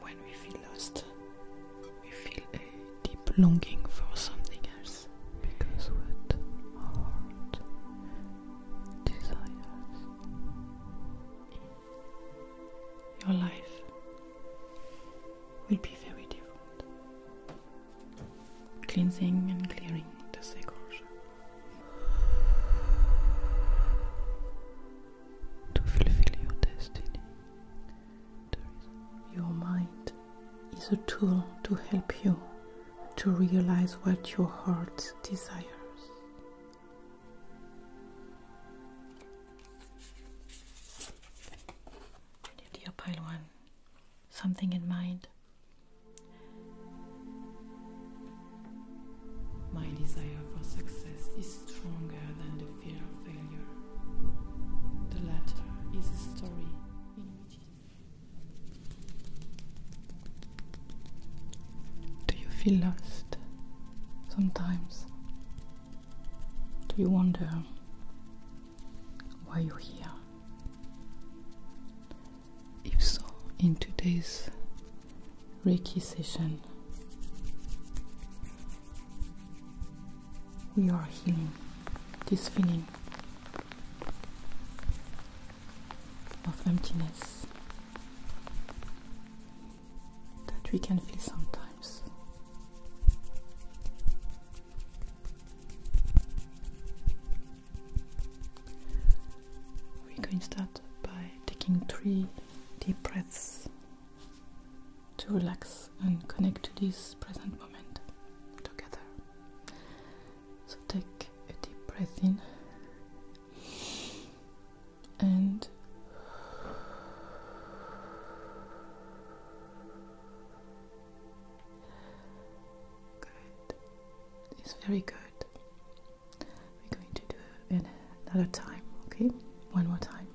When we feel lost, we feel a deep longing for something else because what our desires your life will be very different cleansing and clearing the sacral to fulfill your destiny. Your mind is a tool to help you to realize what your heart desires. Dear Pile One, something in mind my desire for success is stronger than the fear of failure. The latter is a story in which Do you feel lost sometimes? Do you wonder why you're here? If so, in today's Reiki session, we are healing this feeling of emptiness that we can feel sometimes. We're going to start by taking three deep breaths to relax and connect to this present moment together. So take a deep breath in and Good. It's very good. We're going to do it another time, okay? One more time.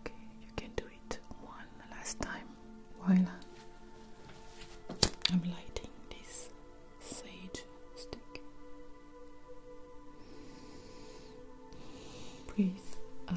Okay, you can do it one last time while I'm lighting this sage stick. Breathe out.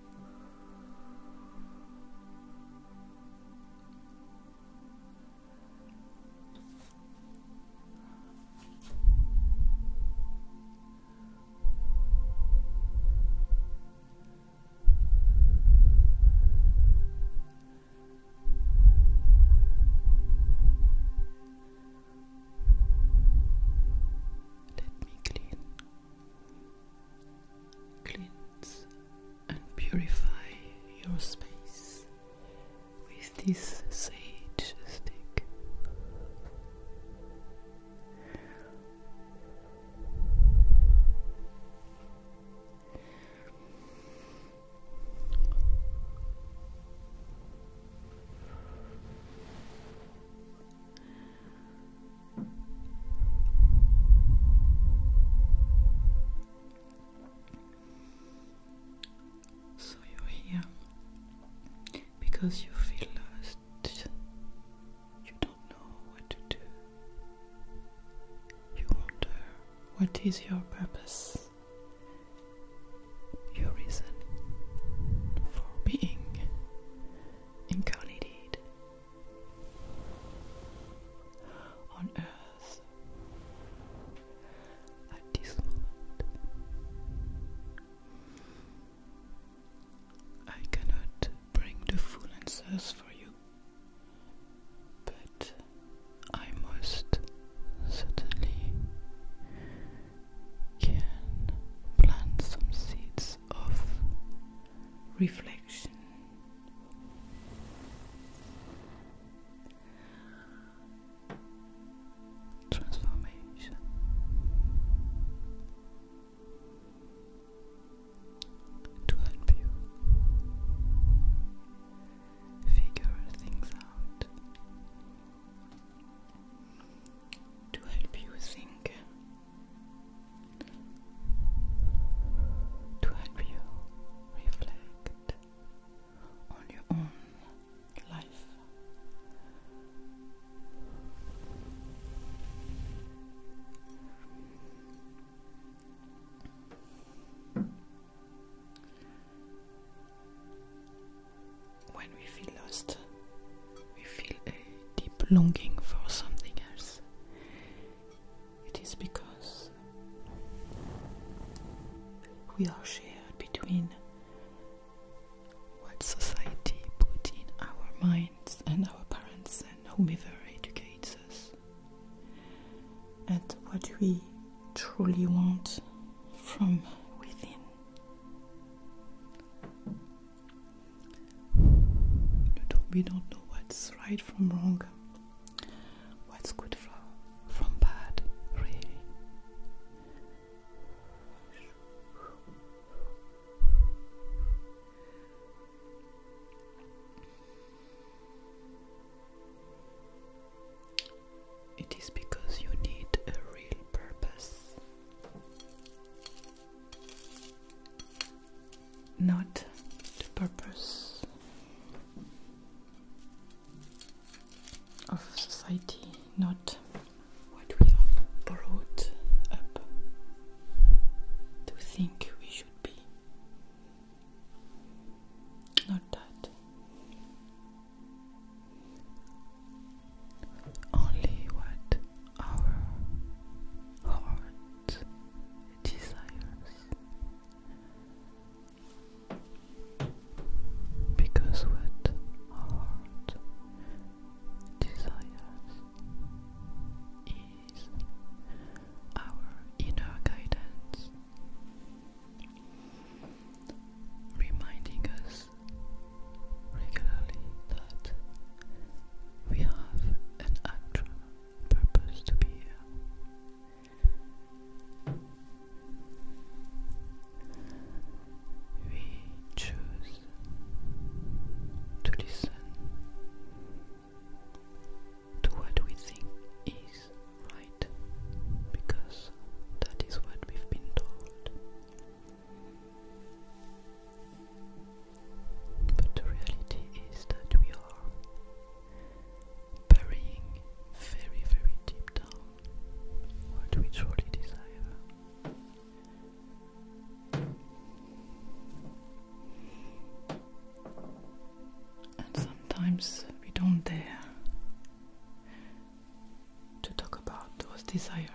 Let me clean Cleanse and purify your space with this sage stick. So you're here because you feel lost. You don't know what to do. You wonder what is your purpose, your reason for being incarnated on earth at this moment. I cannot bring the full answers for you, but I most certainly can plant some seeds of reflection. Transformation. To help you figure things out, to help you think to help you reflect on your own life. When we feel lost, we feel a deep longing for something else. It is because we are shared between what society put in our minds and our parents and whomever educates us, and what we truly want from within we don't know what's right from wrong, what's good from, from bad, really. It is because you need a real purpose not the purpose of society, not what we are brought up to think we should be. Not that. Only what our heart desires because what heart desires is our inner guidance reminding us regularly that we have an actual purpose to be here. We choose to listen to what we think is right because that is what we've been told. But the reality is that we are burying very, very deep down what we truly desire. And sometimes we don't dare to talk about those desires.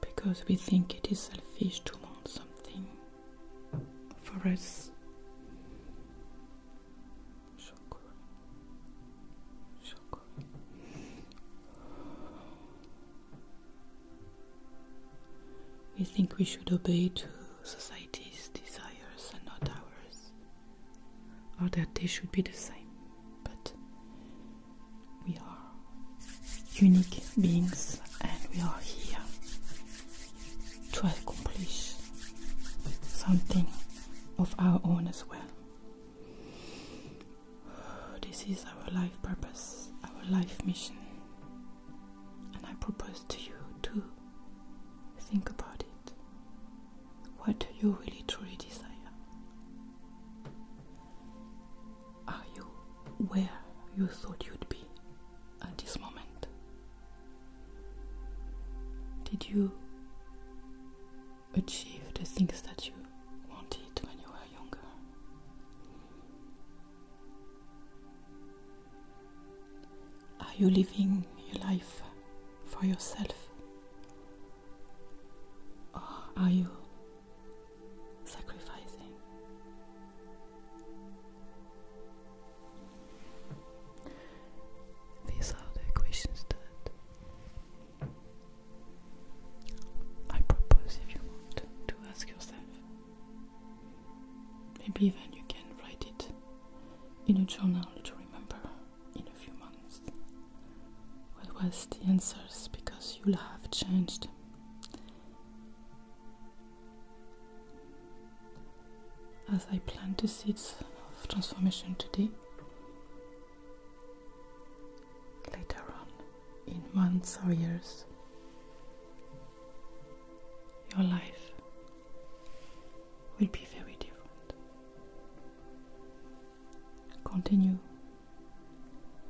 Because we think it is selfish to want something for us. We think we should obey to society's desires and not ours, or that they should be the same, but we are unique beings and we are here to accomplish something of our own as well. This is our life purpose, our life mission. And I propose to you to think about it. What do you really truly desire? Are you where you thought you'd be at this moment? Did you achieve the things that you wanted when you were younger. Are you living your life for yourself? Or are you sacrificing? These are the questions that I propose if you want to ask yourself. Maybe even you can write it in a journal to remember in a few months. What was the answers because you'll have changed. As I plant the seeds of transformation today, later on in months or years. Your life will be very different. Continue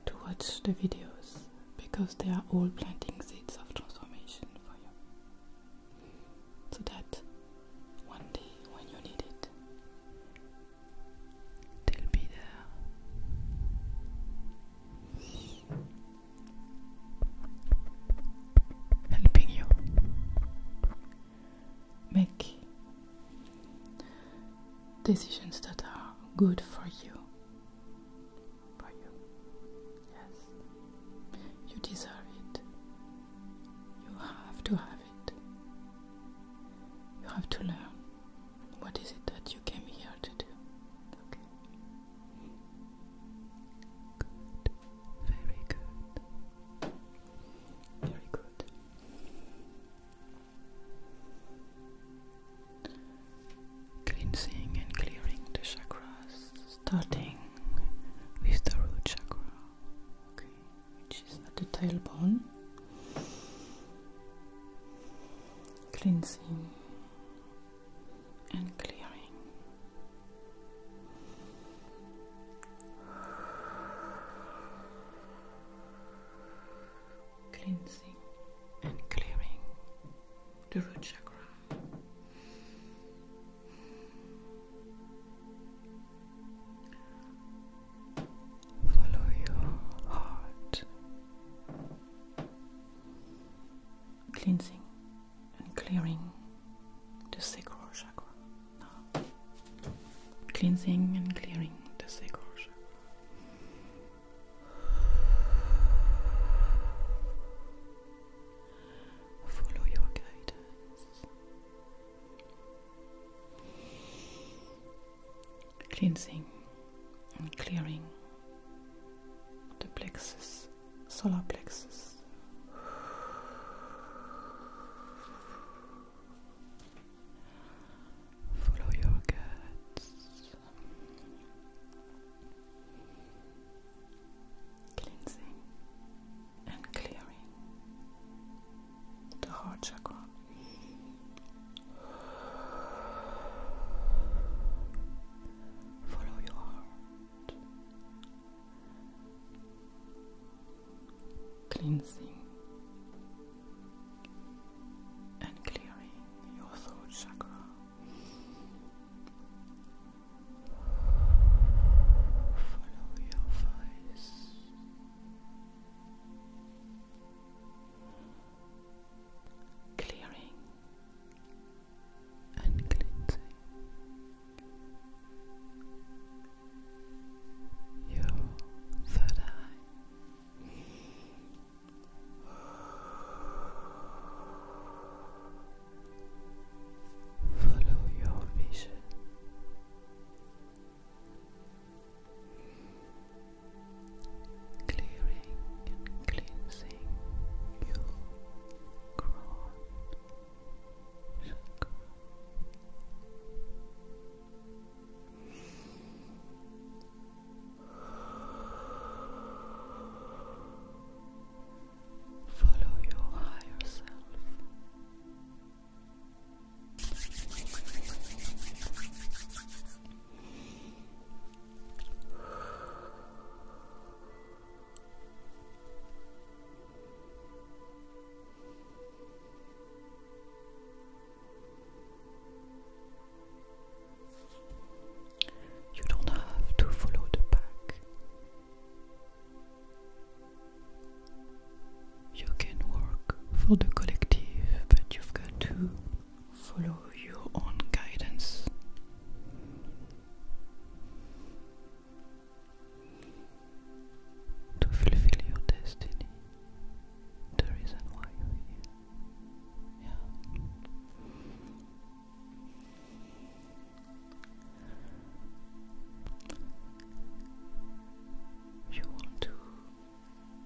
to watch the videos because they are all planting seeds of transformation for you. So that one day when you need it, They'll be there helping you make decisions that are good for you. For you. Yes. You deserve it. You have to have it. You have to learn what is it that you came here to do? Okay. Good. Very good. Very good. Cleansing and clearing the chakras, starting with the root chakra, which is at the tailbone cleansing, and clearing. Cleansing and clearing the root chakra. Follow your heart. Cleansing and clearing the sacral chakra. Cleansing and clearing the sacral Follow your guidance cleansing and clearing the plexus, solar plexus. Follow your guts. Cleansing and clearing the heart chakra. Follow your heart. Cleansing and clearing your thoughts. chakra. Follow your voice clearing and cleansing your third eye. Follow your vision clearing and cleansing your crown Follow your higher self. You don't have to follow the pack. You can work for the collective, but you've got to Follow your own guidance. To fulfill your destiny, the reason why you're here. Yeah. You want to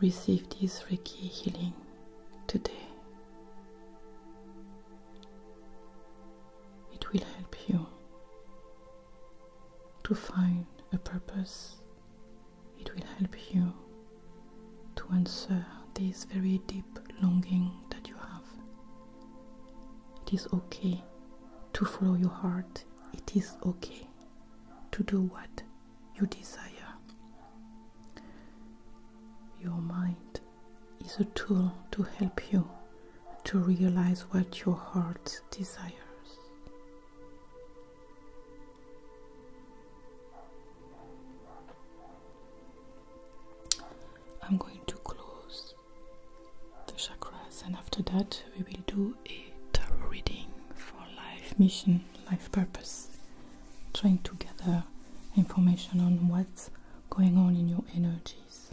Receive this Reiki healing today. It will help you to find a purpose. It will help you to answer this very deep longing that you have. It is okay to follow your heart. It is okay to do what you desire. Your mind is a tool to help you to realize what your heart desires. I'm going to close the chakras, and after that, we will do a tarot reading for life mission, life purpose, trying to gather information on what's going on in your energies.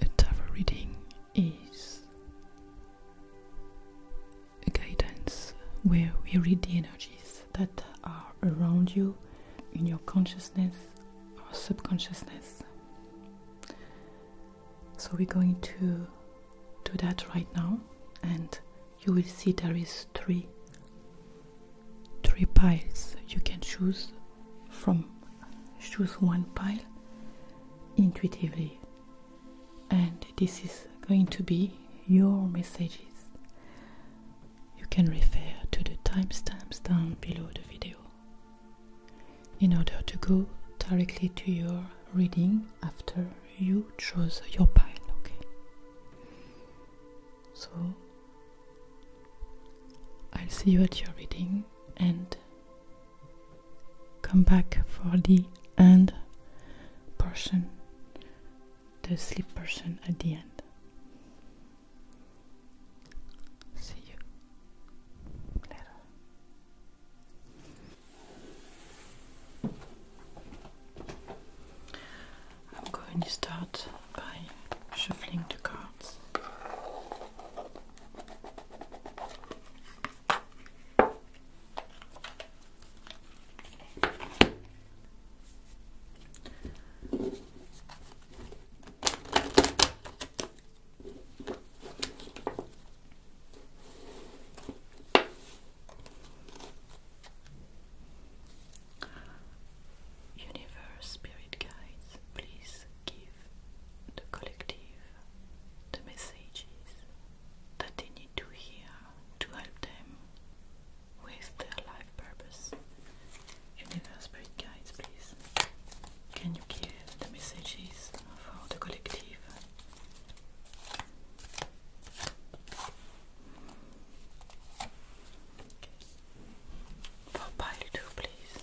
A tarot reading is a guidance where we read the energies that are around you in your consciousness or subconsciousness. So we're going to do that right now and you will see there is three three piles you can choose from choose one pile intuitively. And this is going to be your messages. You can refer to the timestamps down below the video in order to go directly to your reading after you chose your pile, okay? So I'll see you at your reading and come back for the end portion, the sleep portion at the end. See you later. I'm going to start by shuffling the cards. Universe, spirit guides, please give the collective the messages that they need to hear to help them with their life purpose. Universe Spirit Guides, please. Can you give the messages for the collective? For pile two, please.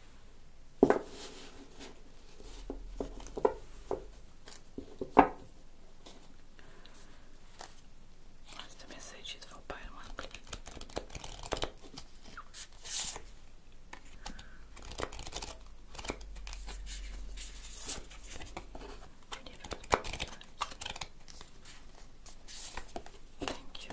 What's message for Pile Monthly? Thank you.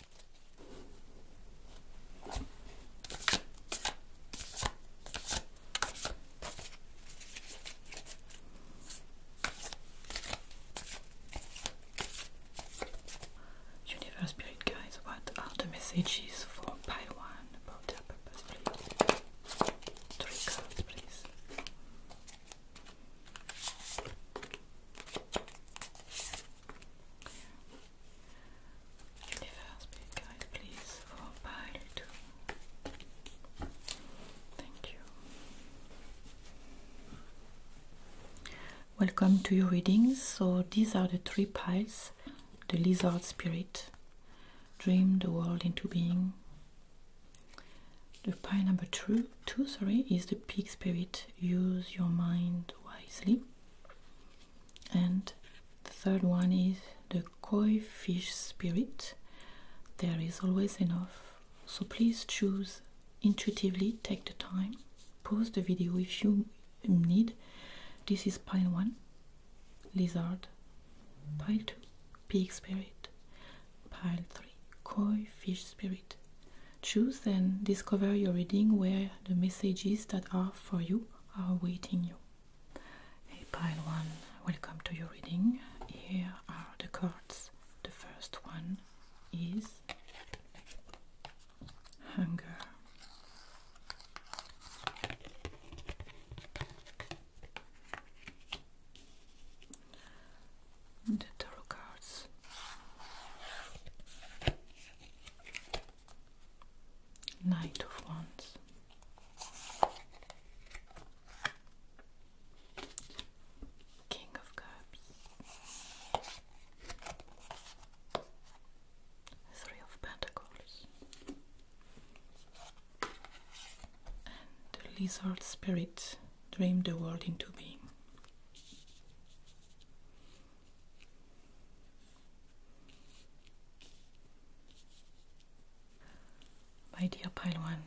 Universe Spirit guys, what are the messages for pile one about their purpose, please? Three cards, please. Universe, be guide, please, for pile two. Thank you. Welcome to your readings. So these are the three piles the lizard spirit, dream the world into being. The pile number two, two sorry, is the pig spirit. Use your mind wisely and the third one is the koi fish spirit. There is always enough, so please choose intuitively, take the time, pause the video if you need. This is pile 1, lizard, pile 2, pig spirit, pile 3, koi fish spirit. Choose and discover your reading where the messages that are for you are awaiting you. Hey, pile one, welcome to your reading. Here are the cards. The first one is hunger. The tarot cards Knight of Wands. King of Cups. Three of Pentacles. And the lizard spirit dreamed the world into being. My dear Pile One,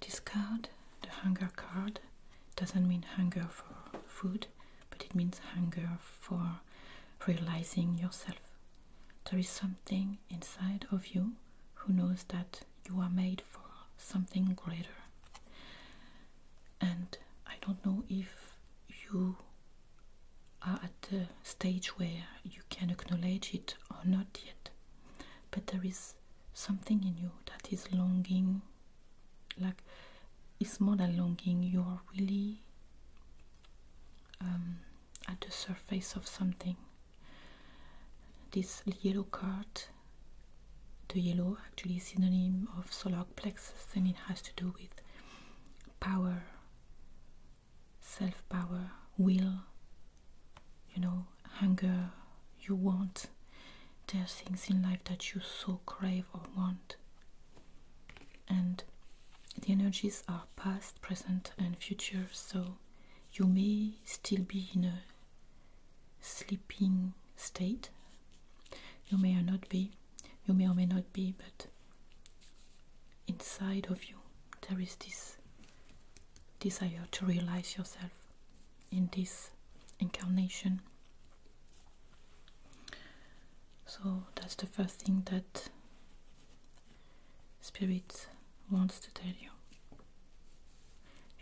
discard the hunger card. Doesn't mean hunger for food, but it means hunger for realizing yourself. There is something inside of you who knows that you are made for something greater. And I don't know if you are at the stage where you can acknowledge it or not yet. But there is something in you that is longing, like it's more than longing, you are really um, at the surface of something. This yellow card the yellow actually is synonym of solar plexus and it has to do with power self-power will you know hunger you want there are things in life that you so crave or want and the energies are past present and future so you may still be in a sleeping state you may or not be, you may or may not be, but inside of you there is this desire to realize yourself in this incarnation. So that's the first thing that Spirit wants to tell you.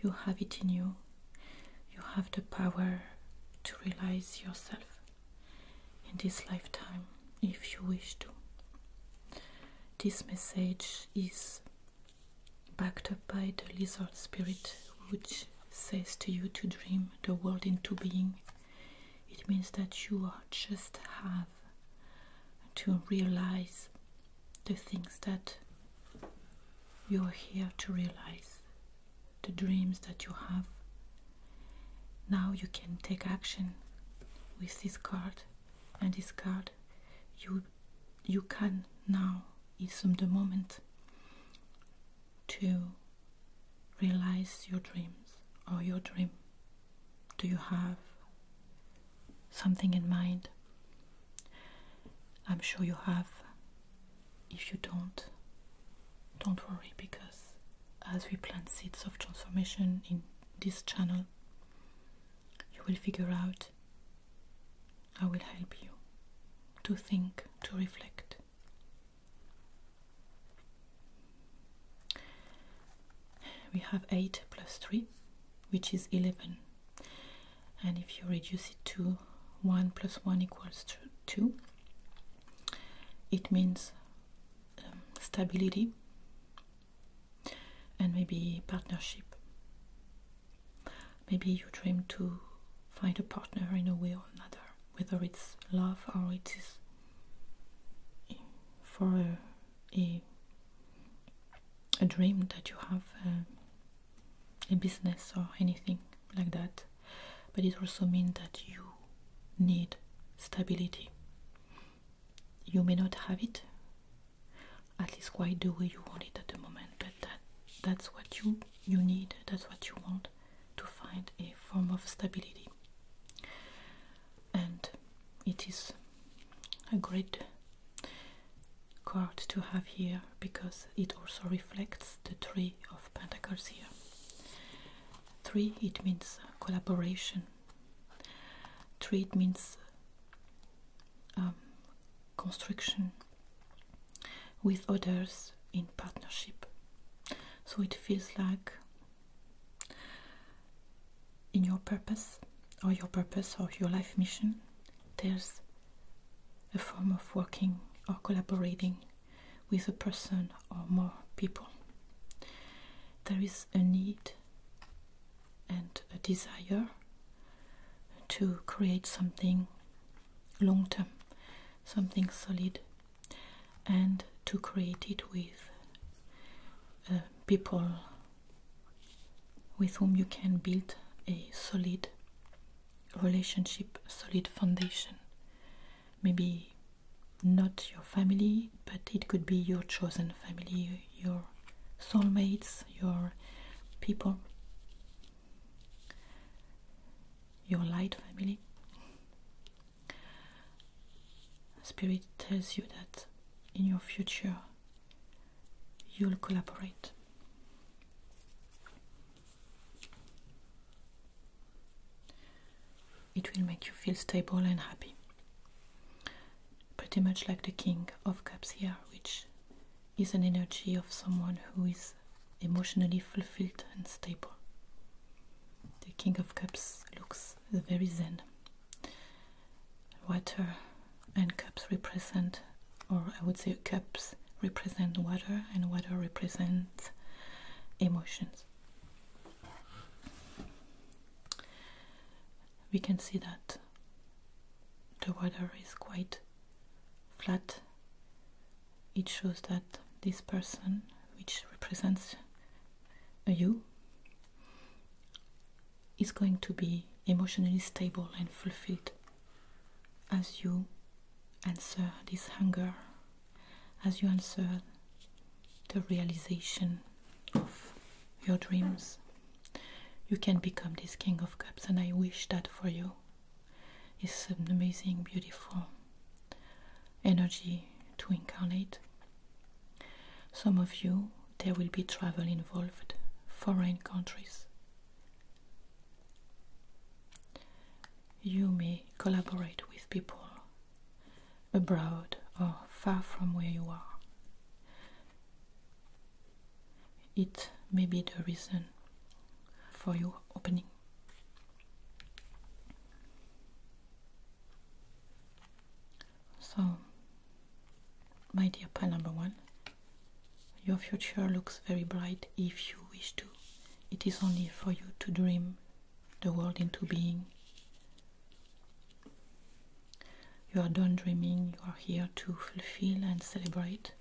You have it in you you have the power to realize yourself in this lifetime if you wish to. This message is backed up by the lizard spirit, which says to you to dream the world into being. It means that you are just have to realize the things that you are here to realize the dreams that you have. Now you can take action with this card and this card you you can now is the moment to realize your dreams or your dream. Do you have something in mind? I'm sure you have if you don't, don't worry because as we plant seeds of transformation in this channel, you will figure out I will help you to think, to reflect. We have 8 plus 3, which is 11. And if you reduce it to 1 plus 1 equals 2, it means um, stability and maybe partnership. Maybe you dream to find a partner in a way or another, whether it's love or it is for a, a, dream that you have, uh, a business or anything like that but it also means that you need stability you may not have it at least quite the way you want it at the moment but that that's what you you need that's what you want to find a form of stability and it is a great card to have here because it also reflects the tree of pentacles here Three, it means collaboration. Three, it means um, construction with others in partnership. So it feels like in your purpose or your purpose or your life mission, there's a form of working or collaborating with a person or more people. There is a need and a desire to create something long term, something solid, and to create it with uh, people with whom you can build a solid relationship, solid foundation maybe not your family, but it could be your chosen family, your soulmates, your people, your light family. Spirit tells you that in your future you'll collaborate. It will make you feel stable and happy. Pretty much like the King of Cups here, which is an energy of someone who is emotionally fulfilled and stable. The King of Cups looks very zen. Water and cups represent, or I would say, cups represent water, and water represents emotions. We can see that the water is quite flat. It shows that this person, which represents you, is going to be emotionally stable and fulfilled as you answer this hunger as you answer the realization of your dreams. You can become this King of Cups, and I wish that for you. It's an amazing, beautiful energy to incarnate. Some of you, there will be travel involved, foreign countries you may collaborate with people abroad or far from where you are. It may be the reason for your opening. So, my dear pal number one, your future looks very bright if you wish to it is only for you to dream the world into being. You are done dreaming, you are here to fulfill and celebrate,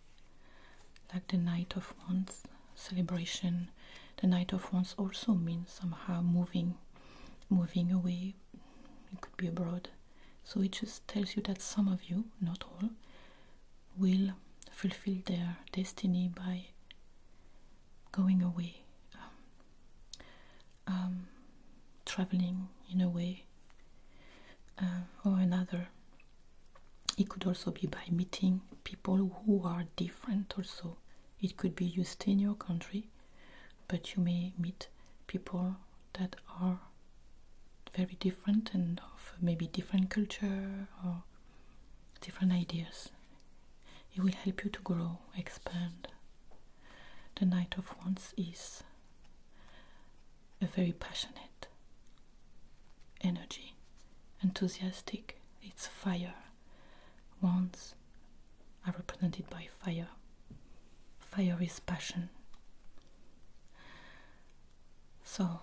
like the night of one's celebration. The night of one's also means somehow moving, moving away. It could be abroad. So it just tells you that some of you, not all, will fulfill their destiny by going away, um, um, traveling in a way uh, or another. It could also be by meeting people who are different, also. It could be you in your country, but you may meet people that are very different and of maybe different culture or different ideas it will help you to grow, expand. The Knight of Wands is a very passionate energy, enthusiastic, it's fire. Wands are represented by fire. Fire is passion. So,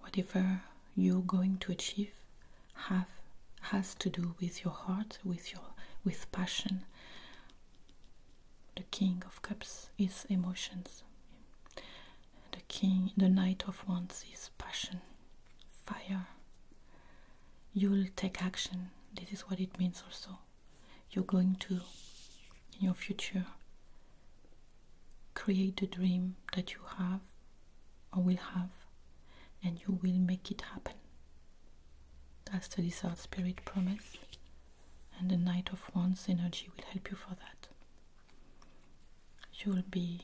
whatever you're going to achieve have has to do with your heart, with your with passion. The King of Cups is emotions. The King, the Knight of Wands is passion, fire. You'll take action. This is what it means also. You're going to, in your future, create the dream that you have or will have, and you will make it happen. That's the Lizard Spirit promise, and the night of ones energy will help you for that. You'll be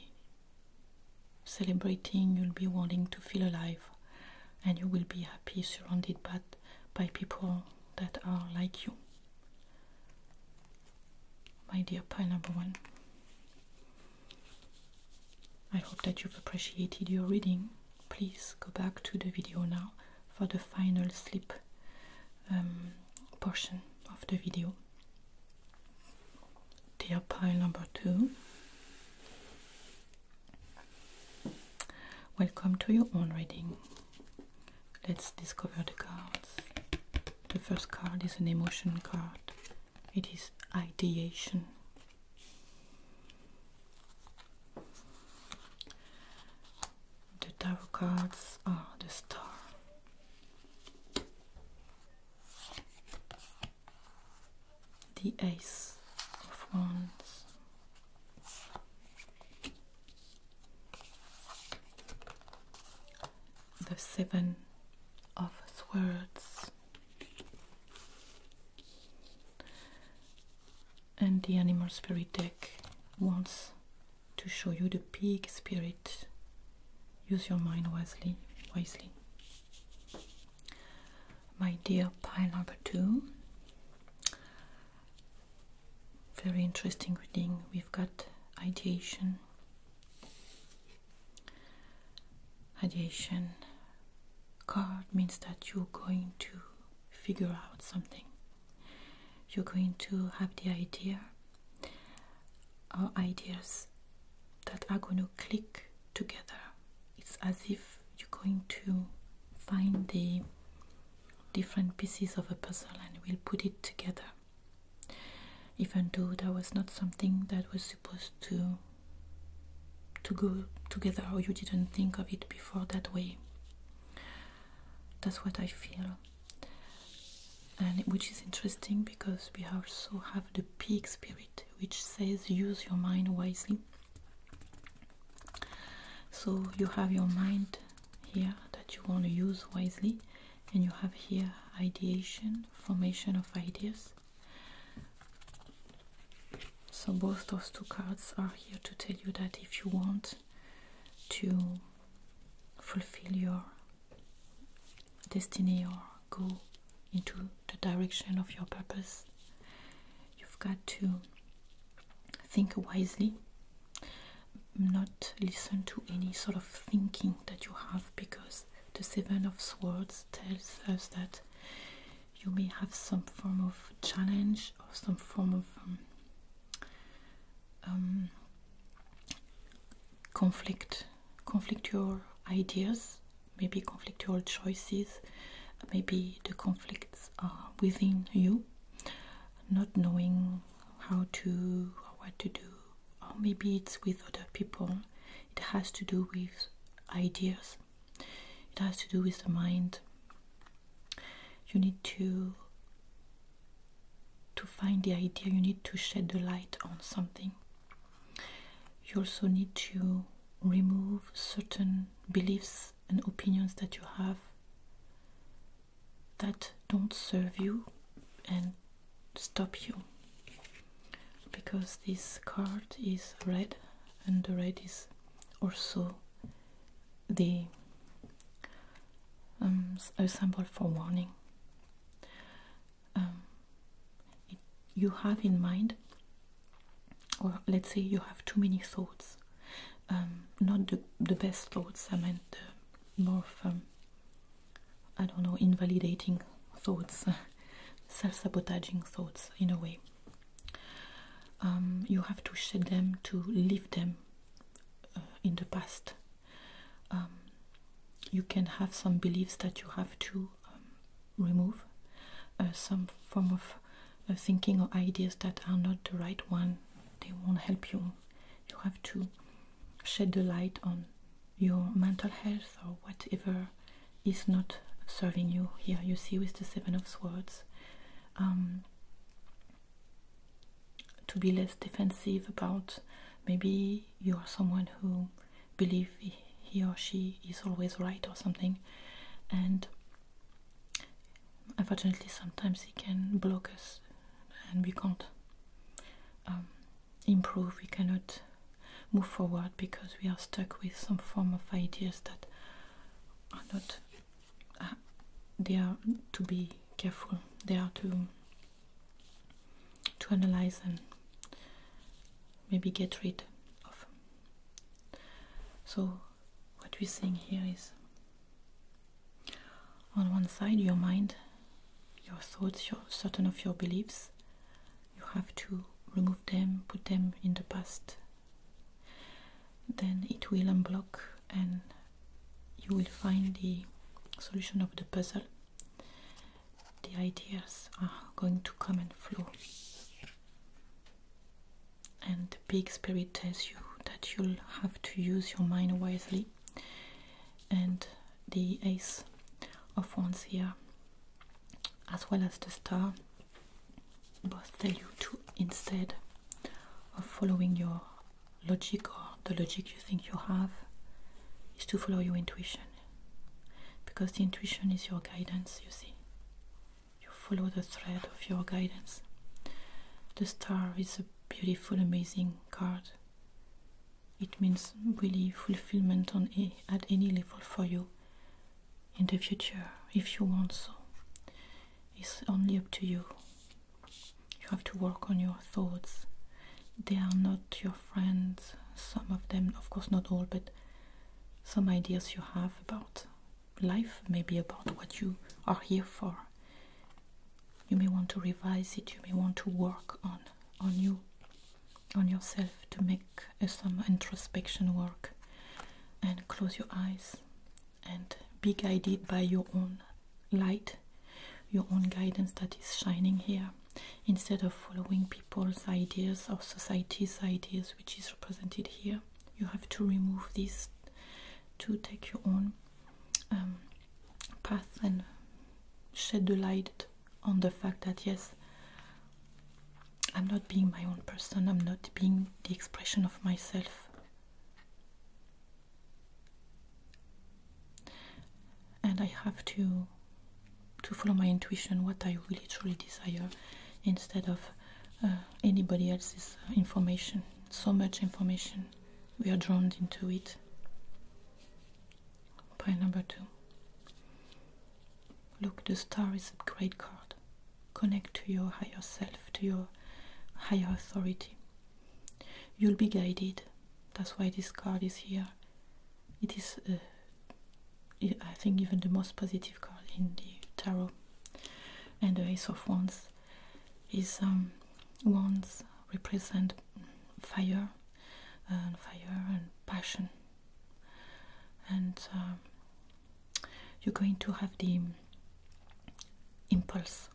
celebrating, you'll be wanting to feel alive, and you will be happy surrounded by, by people that are like you. My dear pile number one. I hope that you've appreciated your reading. Please go back to the video now for the final slip um, portion of the video. Dear pile number two, welcome to your own reading. Let's discover the cards. The first card is an emotion card it is ideation. The tarot cards are the star. The Ace of Wands, the Seven of swords and the animal spirit deck wants to show you the pig spirit use your mind wisely wisely my dear pile number two very interesting reading we've got ideation radiation card means that you're going to figure out something you're going to have the idea or uh, ideas that are going to click together it's as if you're going to find the different pieces of a puzzle and we'll put it together even though that was not something that was supposed to to go together or you didn't think of it before that way that's what i feel and which is interesting because we also have the peak spirit which says use your mind wisely so you have your mind here that you want to use wisely and you have here ideation formation of ideas. So both those two cards are here to tell you that if you want to fulfill your destiny or go into the direction of your purpose, you've got to think wisely, not listen to any sort of thinking that you have because the Seven of Swords tells us that you may have some form of challenge or some form of um, um, conflict, conflict your ideas, maybe conflict your choices, maybe the conflicts are within you, not knowing how to or what to do or maybe it's with other people. It has to do with ideas, it has to do with the mind. You need to to find the idea, you need to shed the light on something. You also need to remove certain beliefs and opinions that you have that don't serve you and stop you because this card is red and the red is also the um, symbol for warning um, you have in mind or let's say you have too many thoughts um, not the, the best thoughts I meant more um, I don't know, invalidating thoughts, self sabotaging thoughts in a way. Um, you have to shed them to leave them uh, in the past. Um, you can have some beliefs that you have to um, remove, uh, some form of uh, thinking or ideas that are not the right one. They won't help you. You have to shed the light on your mental health or whatever is not serving you here you see with the seven of swords um, to be less defensive about maybe you are someone who believe he or she is always right or something and unfortunately sometimes it can block us and we can't um, improve, we cannot move forward because we are stuck with some form of ideas that are not, uh, they are to be careful, they are to, to analyze and maybe get rid of. So what we're seeing here is on one side your mind, your thoughts, your certain of your beliefs, you have to remove them, put them in the past. Then it will unblock and you will find the solution of the puzzle. The ideas are going to come and flow. And the big spirit tells you that you'll have to use your mind wisely. And the ace of wands here as well as the star both tell you to instead of following your logic or the logic you think you have is to follow your intuition because the intuition is your guidance you see you follow the thread of your guidance the star is a beautiful amazing card it means really fulfillment on at any level for you in the future if you want so. It's only up to you. You have to work on your thoughts. They are not your friends. Some of them, of course, not all, but some ideas you have about life, maybe about what you are here for. You may want to revise it, you may want to work on on you on yourself to make uh, some introspection work and close your eyes and be guided by your own light, your own guidance that is shining here instead of following people's ideas or society's ideas which is represented here. You have to remove this to take your own um, path and shed the light on the fact that yes, I'm not being my own person, I'm not being the expression of myself. And I have to to follow my intuition, what I really truly desire, instead of uh, anybody else's uh, information. So much information, we are drowned into it. Pile number two. Look, the star is a great card. Connect to your higher self, to your higher authority. You'll be guided. That's why this card is here. It is, uh, I think, even the most positive card in the tarot. And the Ace of Wands is um, wands represent fire and fire and passion and uh, you're going to have the impulse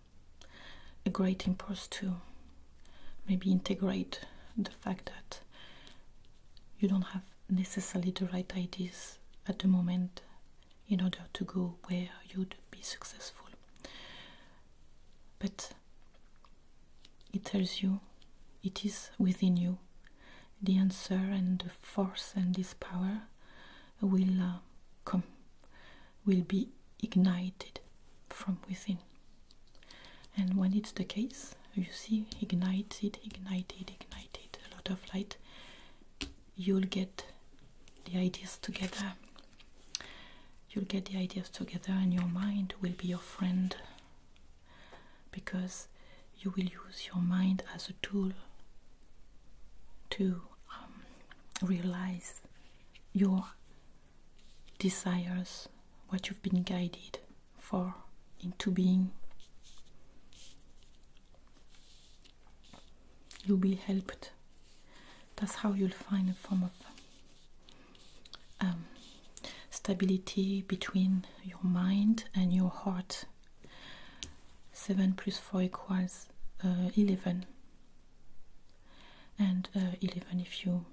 a great impulse to maybe integrate the fact that you don't have necessarily the right ideas at the moment in order to go where you'd be successful but it tells you it is within you. The answer and the force and this power will uh, come, will be ignited from within. And when it's the case, you see ignited, ignited, ignited, a lot of light, you'll get the ideas together. You'll get the ideas together, and your mind will be your friend because you will use your mind as a tool to um, realize your desires, what you've been guided for into being. You'll be helped. That's how you'll find a form of um, stability between your mind and your heart. 7 plus 4 equals uh, 11. And uh, 11, if you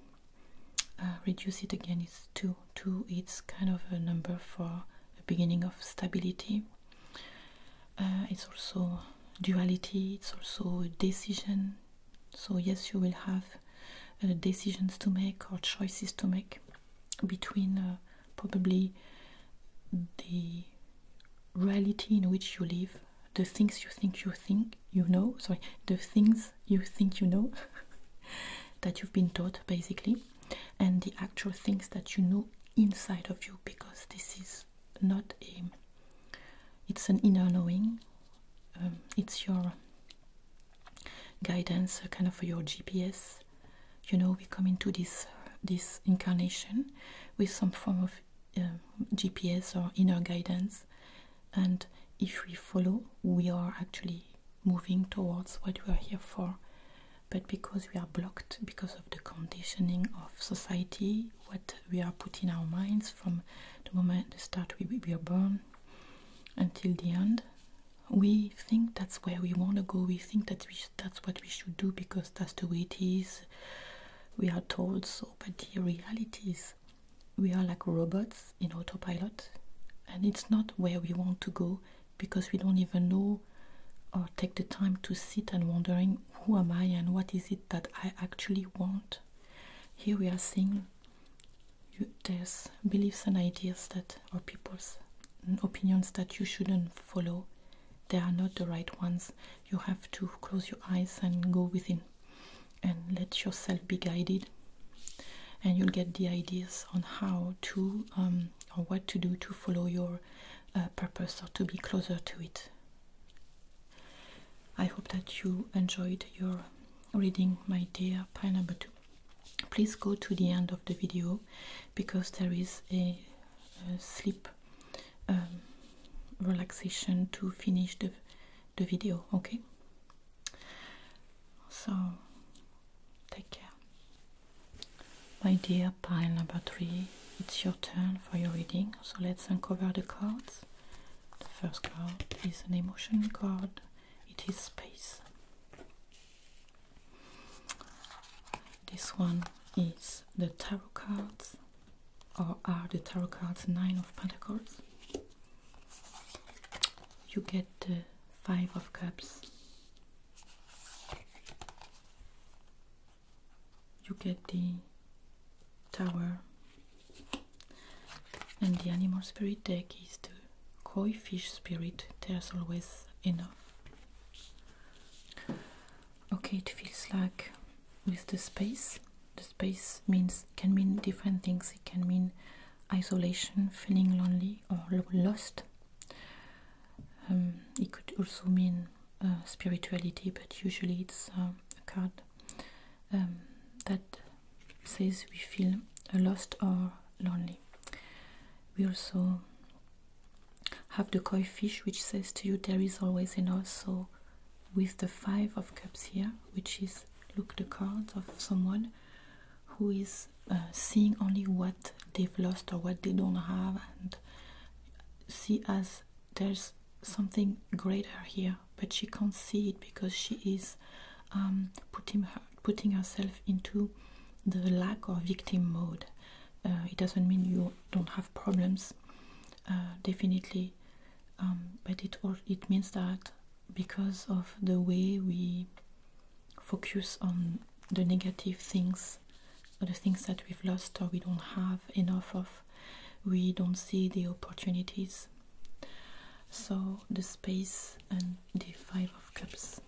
uh, reduce it again, is 2. 2 it's kind of a number for the beginning of stability. it's also duality, it's also a decision. So, yes, you will have uh, decisions to make or choices to make between uh, probably the reality in which you live, the things you think you think you know, sorry, the things you think you know that you've been taught basically, and the actual things that you know inside of you because this is not a it's an inner knowing um, it's your guidance, uh, kind of your GPS. You know, we come into this uh, this incarnation with some form of um, GPS or inner guidance, and if we follow, we are actually moving towards what we are here for. But because we are blocked because of the conditioning of society, what we are put in our minds from the moment the start we, we are born until the end, we think that's where we want to go we think that we that's what we should do because that's the way it is we are told so but the reality is we are like robots in autopilot and it's not where we want to go because we don't even know or take the time to sit and wondering who am i and what is it that i actually want here we are seeing there's beliefs and ideas that are people's mm, opinions that you shouldn't follow. They are not the right ones. You have to close your eyes and go within and let yourself be guided. And you'll get the ideas on how to um, or what to do to follow your uh, purpose or to be closer to it. I hope that you enjoyed your reading, my dear pile number two please go to the end of the video because there is a, sleep um, relaxation to finish the, the video okay so take care my dear pile number three it's your turn for your reading so let's uncover the cards the first card is an emotion card it is space this one is the tarot cards, or are the tarot cards Nine of Pentacles? You get the Five of Cups. You get the Tower, and the Animal Spirit deck is the koi fish spirit, there's always enough. Okay, it feels like with the space. The space means can mean different things. It can mean isolation, feeling lonely or lost. Um, it could also mean uh, spirituality, but usually it's uh, a card um, that says we feel lost or lonely. We also have the koi fish, which says to you there is always enough. So, with the five of cups here, which is look the cards of someone who is uh, seeing only what they've lost or what they don't have, and see as there's something greater here, but she can't see it because she is um, putting her putting ourselves into the lack or victim mode. Uh, it doesn't mean you don't have problems, uh, definitely, um, but it or it means that because of the way we focus on the negative things, the things that we've lost or we don't have enough of, we don't see the opportunities. So the space and the five of cups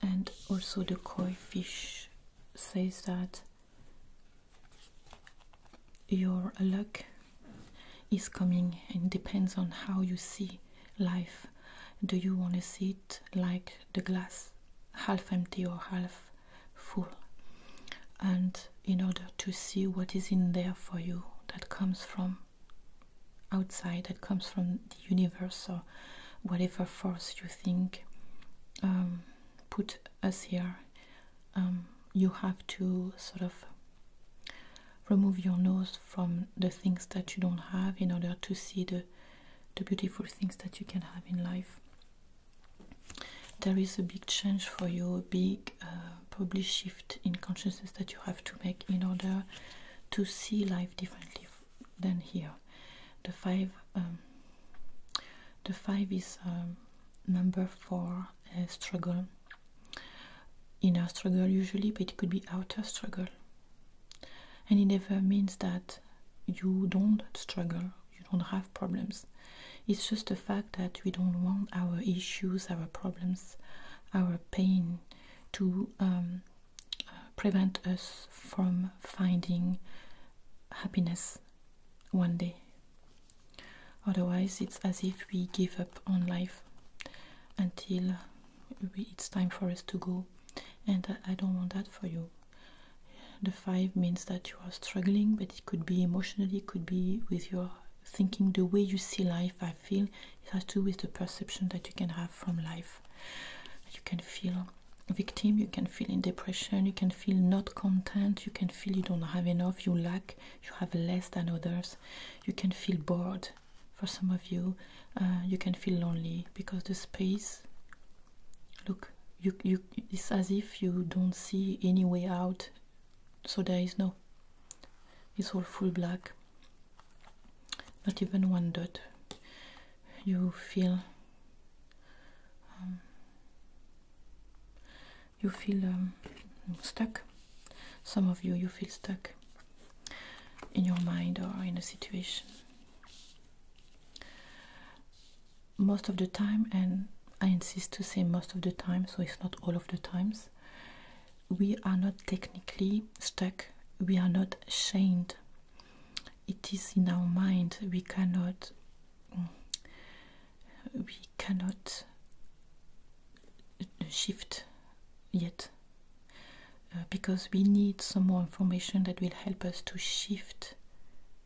and also the koi fish says that your luck is coming and depends on how you see life do you want to see it like the glass half empty or half full and in order to see what is in there for you that comes from outside that comes from the universe or whatever force you think um, put us here. Um, you have to sort of remove your nose from the things that you don't have in order to see the, the beautiful things that you can have in life. There is a big change for you, a big uh, probably shift in consciousness that you have to make in order to see life differently than here. The five, um, the five is um, number for uh, struggle. Inner struggle usually, but it could be outer struggle. And it never means that you don't struggle, you don't have problems. It's just the fact that we don't want our issues, our problems, our pain to um, prevent us from finding happiness one day. Otherwise, it's as if we give up on life until it's time for us to go, and I don't want that for you. The five means that you are struggling, but it could be emotionally, it could be with your thinking, the way you see life feel. It has to do with the perception that you can have from life. You can feel victim, you can feel in depression, you can feel not content, you can feel you don't have enough, you lack, you have less than others, you can feel bored for some of you, uh, you can feel lonely because the space look you it's as if you don't see any way out so there is no it's all full black not even one dot you feel um, you feel um, stuck some of you you feel stuck in your mind or in a situation most of the time and I insist to say most of the time so it's not all of the times we are not technically stuck, we are not shamed. It is in our mind, we cannot mm, we cannot shift yet uh, because we need some more information that will help us to shift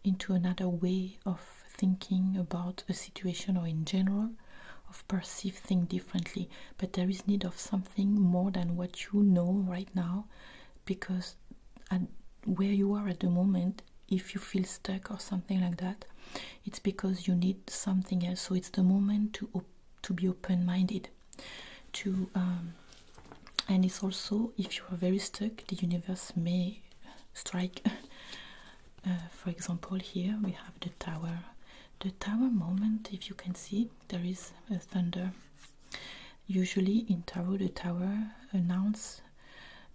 into another way of thinking about a situation or in general of perceive things differently but there is need of some more than what you know right now because where you are at the moment if you feel stuck or something like that it's because you need something else so it's the moment to to be open-minded to um, and it's also if you are very stuck the universe may strike uh, for example here we have the tower the tower moment if you can see there is a thunder usually in tarot the tower announces.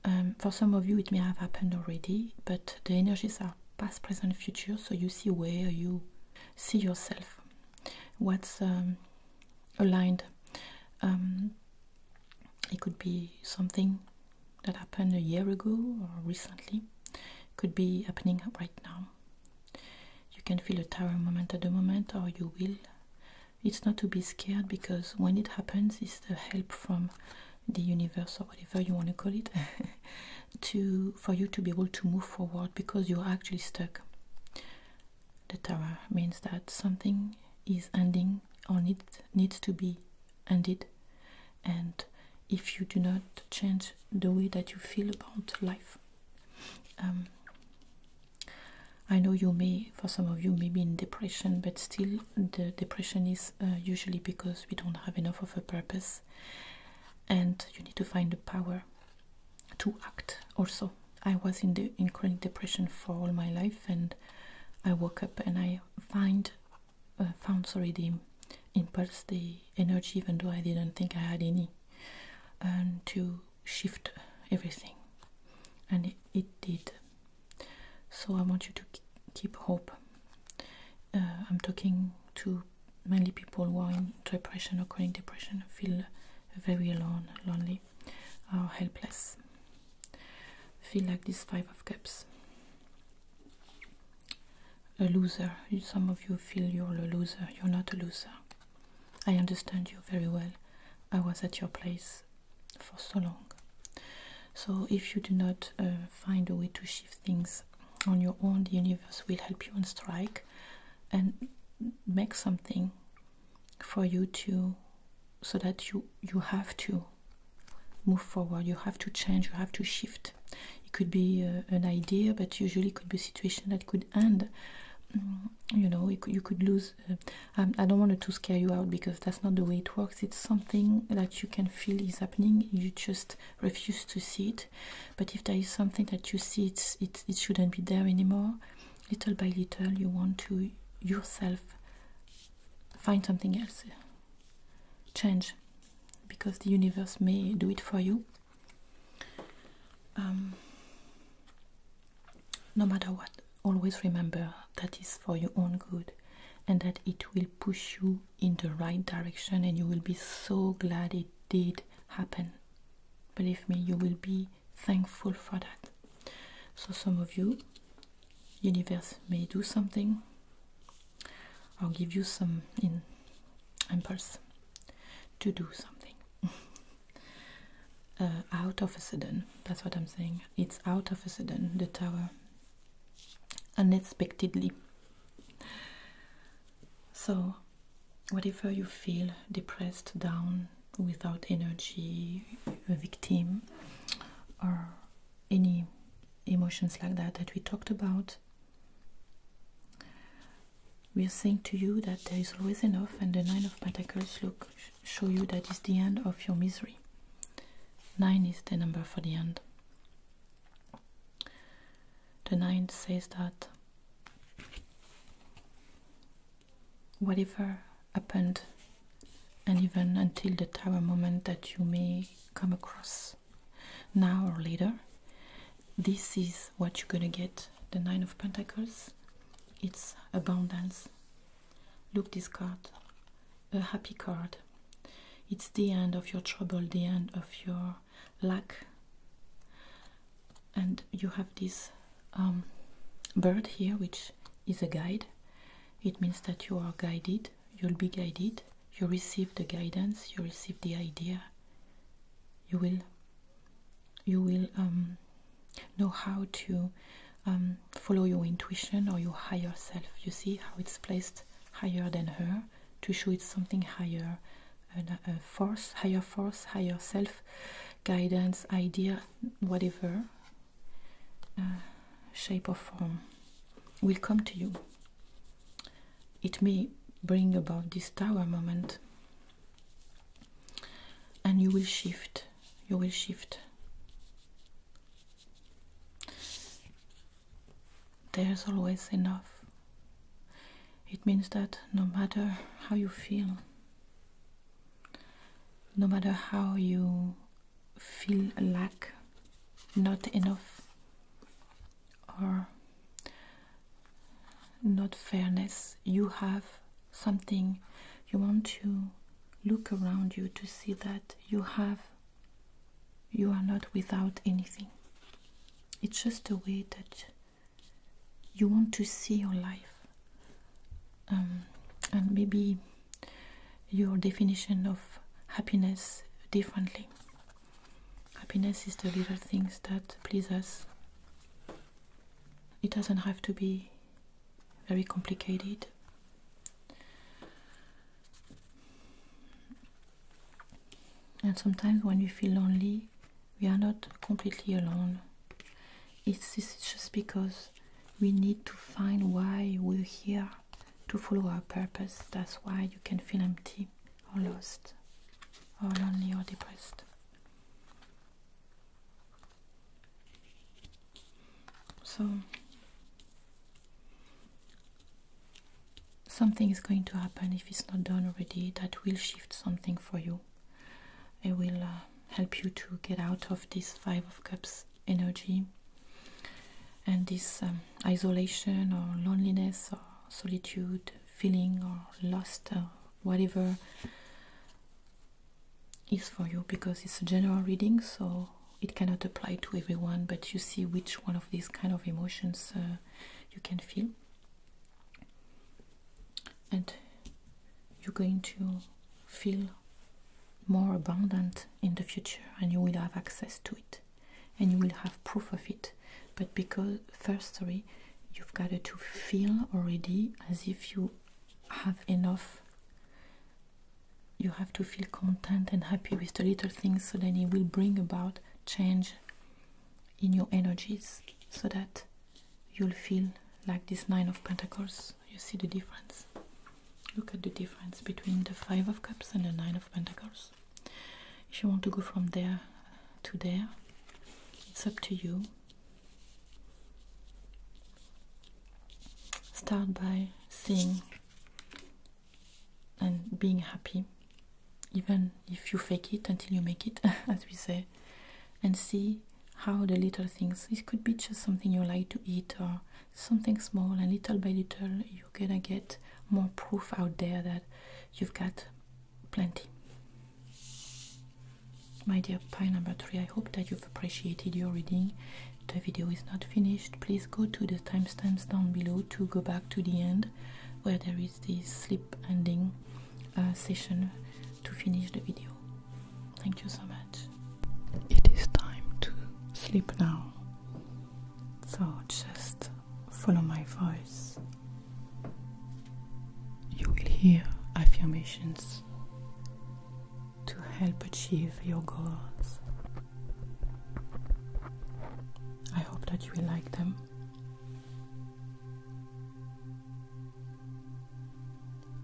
Um, for some of you it may have happened already but the energies are past present future so you see where you see yourself what's um, aligned um, it could be something that happened a year ago or recently could be happening right now you can feel a tower moment at the moment, or you will. It's not to be scared because when it happens, it's the help from the universe or whatever you want to call it to for you to be able to move forward because you're actually stuck. The tower means that something is ending or need, needs to be ended, and if you do not change the way that you feel about life. Um, I know you may, for some of you, may be in depression, but still, the depression is uh, usually because we don't have enough of a purpose, and you need to find the power to act. Also, I was in the in chronic depression for all my life, and I woke up and I find uh, found sorry the impulse, the energy, even though I didn't think I had any, and to shift everything. And it, did. So I want you to keep hope. Uh, I'm talking to many people who are in depression or chronic depression, feel very alone, lonely, or helpless. Feel like this Five of Cups a loser. Some of you feel you're a loser. You're not a loser. I understand you very well. I was at your place for so long. So if you do not uh, find a way to shift things on your own, the universe will help you on strike and make something for you to so that you you have to move forward you have to change you have to shift it could be uh, an idea, but usually it could be a situation that could end. Mm, you know, you could lose. Uh, um, I, don't want to scare you out because that's not the way it works. It's something that you can feel is happening. You just refuse to see it. But if there is something that you see, it shouldn't be there anymore. Little by little, you want to yourself find something else, change, because the universe may do it for you. Um, no matter what, always remember that is for your own good and that it will push you in the right direction and you will be so glad it did happen. Believe me, you will be thankful for that. So some of you, universe may do something or give you some in impulse to do something uh, out of a sudden. That's what I'm saying. It's out of a sudden, the tower. Unexpectedly. So, whatever you feel depressed, down, without energy, a victim, or any emotions like that that we talked about, we are saying to you that there is always enough and the nine of pentacles look show you that is the end of your misery nine is the number for the end the nine says that whatever happened and even until the tower moment that you may come across now or later this is what you're gonna get the nine of pentacles it's abundance look this card a happy card it's the end of your trouble the end of your luck. and you have this um, bird here which is a guide it means that you are guided you'll be guided you receive the guidance you receive the idea you will you will um, know how to um, follow your intuition or your higher self. You see how it's placed higher than her to show it something higher, a, force, higher force, higher self, guidance, idea, whatever uh, shape or form will come to you it may bring about this tower moment and you will shift you will shift there's always enough it means that no matter how you feel no matter how you feel a lack not enough or not fairness you have something you want to look around you to see that you have you are not without anything it's just a way that you want to see your life um, and maybe your definition of happiness differently Happiness is the little things that please us. It doesn't have to be very complicated. And sometimes when you feel lonely, we are not completely alone. it's just because we need to find why we're here to follow our purpose. That's why you can feel empty or lost or lonely or depressed. So something is going to happen if it's not done already that will shift something for you. It will uh, help you to get out of this Five of Cups energy and this um, isolation or loneliness or solitude feeling or lost or whatever is for you because it's a general reading so it cannot apply to everyone but you see which one of these kind of emotions uh, you can feel and you're going to feel more abundant in the future and you will have access to it and you will have proof of it but because first sorry you've got to feel already as if you have enough you have to feel content and happy with the little things so then it will bring about change in your energies so that you'll feel like this nine of pentacles you see the difference look at the difference between the five of cups and the nine of pentacles if you want to go from there to there it's up to you start by seeing and being happy even if you fake it until you make it as we say and see how the little things This could be just something you like to eat or something small and little by little you're gonna get more proof out there that you've got plenty my dear pie number 3, I hope that you've appreciated your reading. The video is not finished. Please go to the timestamps down below to go back to the end where there is the slip ending uh, session to finish the video. Thank you so much. It is time to sleep now. So just follow my voice. You will hear affirmations to help achieve your goals. I hope that you will like them.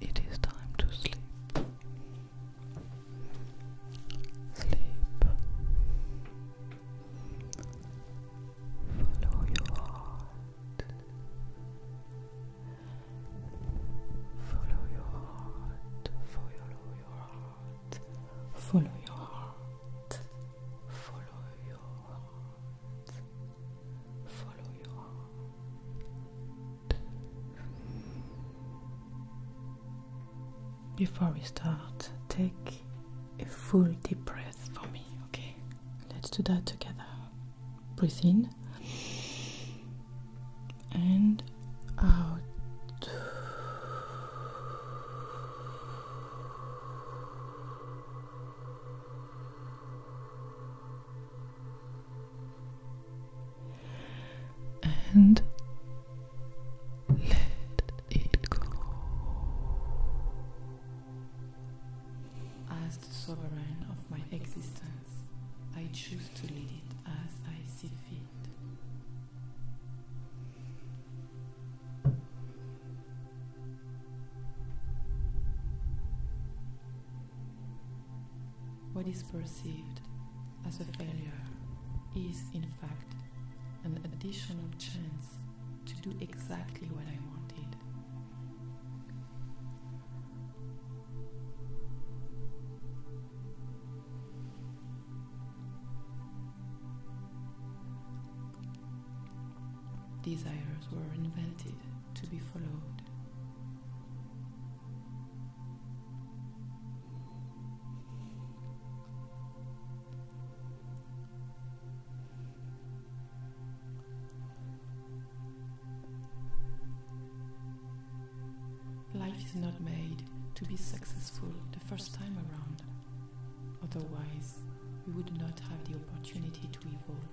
It is time to sleep. Sleep. Follow your heart. Follow your heart. Follow your heart. Follow your heart. Follow your heart. Follow your heart. Before we start, take a full deep breath for me, okay? Let's do that together. Breathe in and out. And let it go. As the sovereign of my existence, I choose to lead it as I see fit. What is perceived as a failure is, in fact, an additional chance to do exactly what I wanted. Desires were invented to be followed. Life is not made to be successful the first time around, otherwise, we would not have the opportunity to evolve.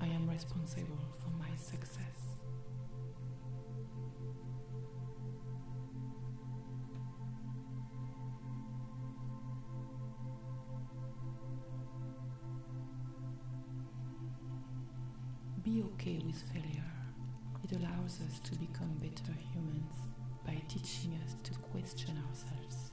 I am responsible for my success. Be okay with failure. It allows us to become better humans by teaching us to question ourselves.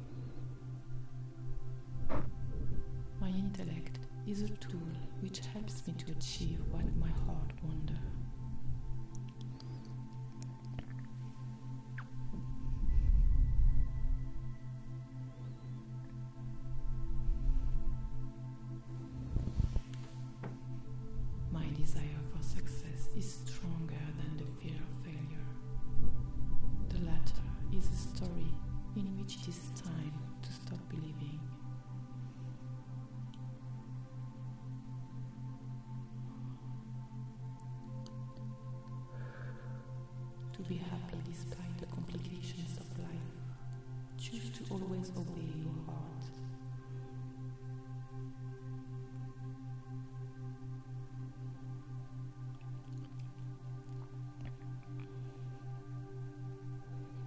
My intellect is a tool which helps me to achieve what my heart wants. My desire for success is stronger than the fear of failure. The latter is a story in which it is time to stop believing. To be happy despite the complications of life, choose to always obey your heart.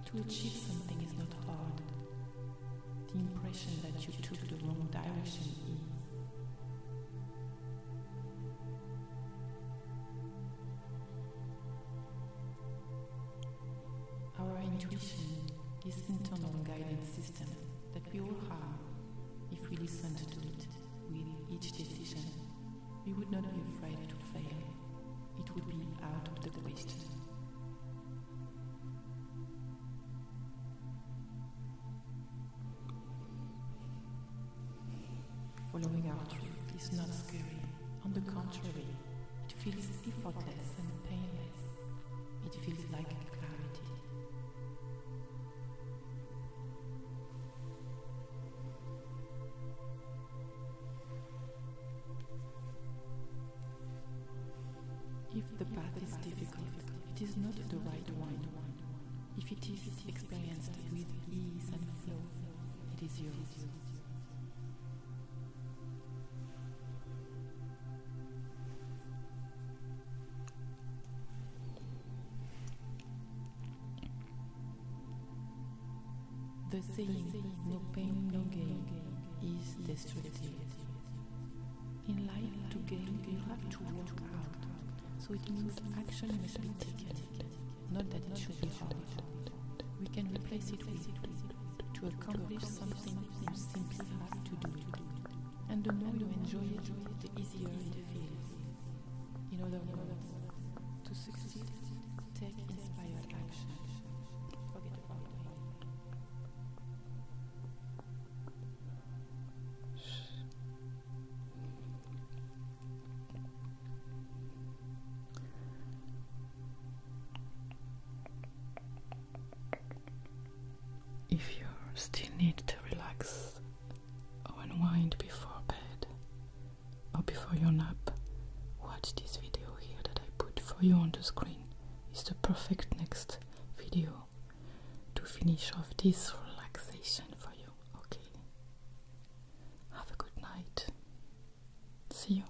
To achieve something is not hard. The impression that you took the wrong direction is. Our intuition is internal guidance that we all have, if we listened to it with each decision, we would not be afraid to fail. It would be out of the question. Following our truth is not scary. On the contrary, it feels effortless and painless. It feels like clarity. If the path is difficult, it is not the right one. If it is experienced with ease and flow, it is yours. The saying, no pain, no gain, is destructive. In life, to gain, you have to work hard, So it means action must be taken, not that it should be hard. We can replace it with, to accomplish something, you simply have to do it. And the more you enjoy it, the easier it feels. In other words, to succeed, take inspired action. If you still need to relax unwind before bed or before your nap, watch this video here that I put for you on the screen. Is the perfect next video to finish off this relaxation for you. Okay. Have a good night. See you.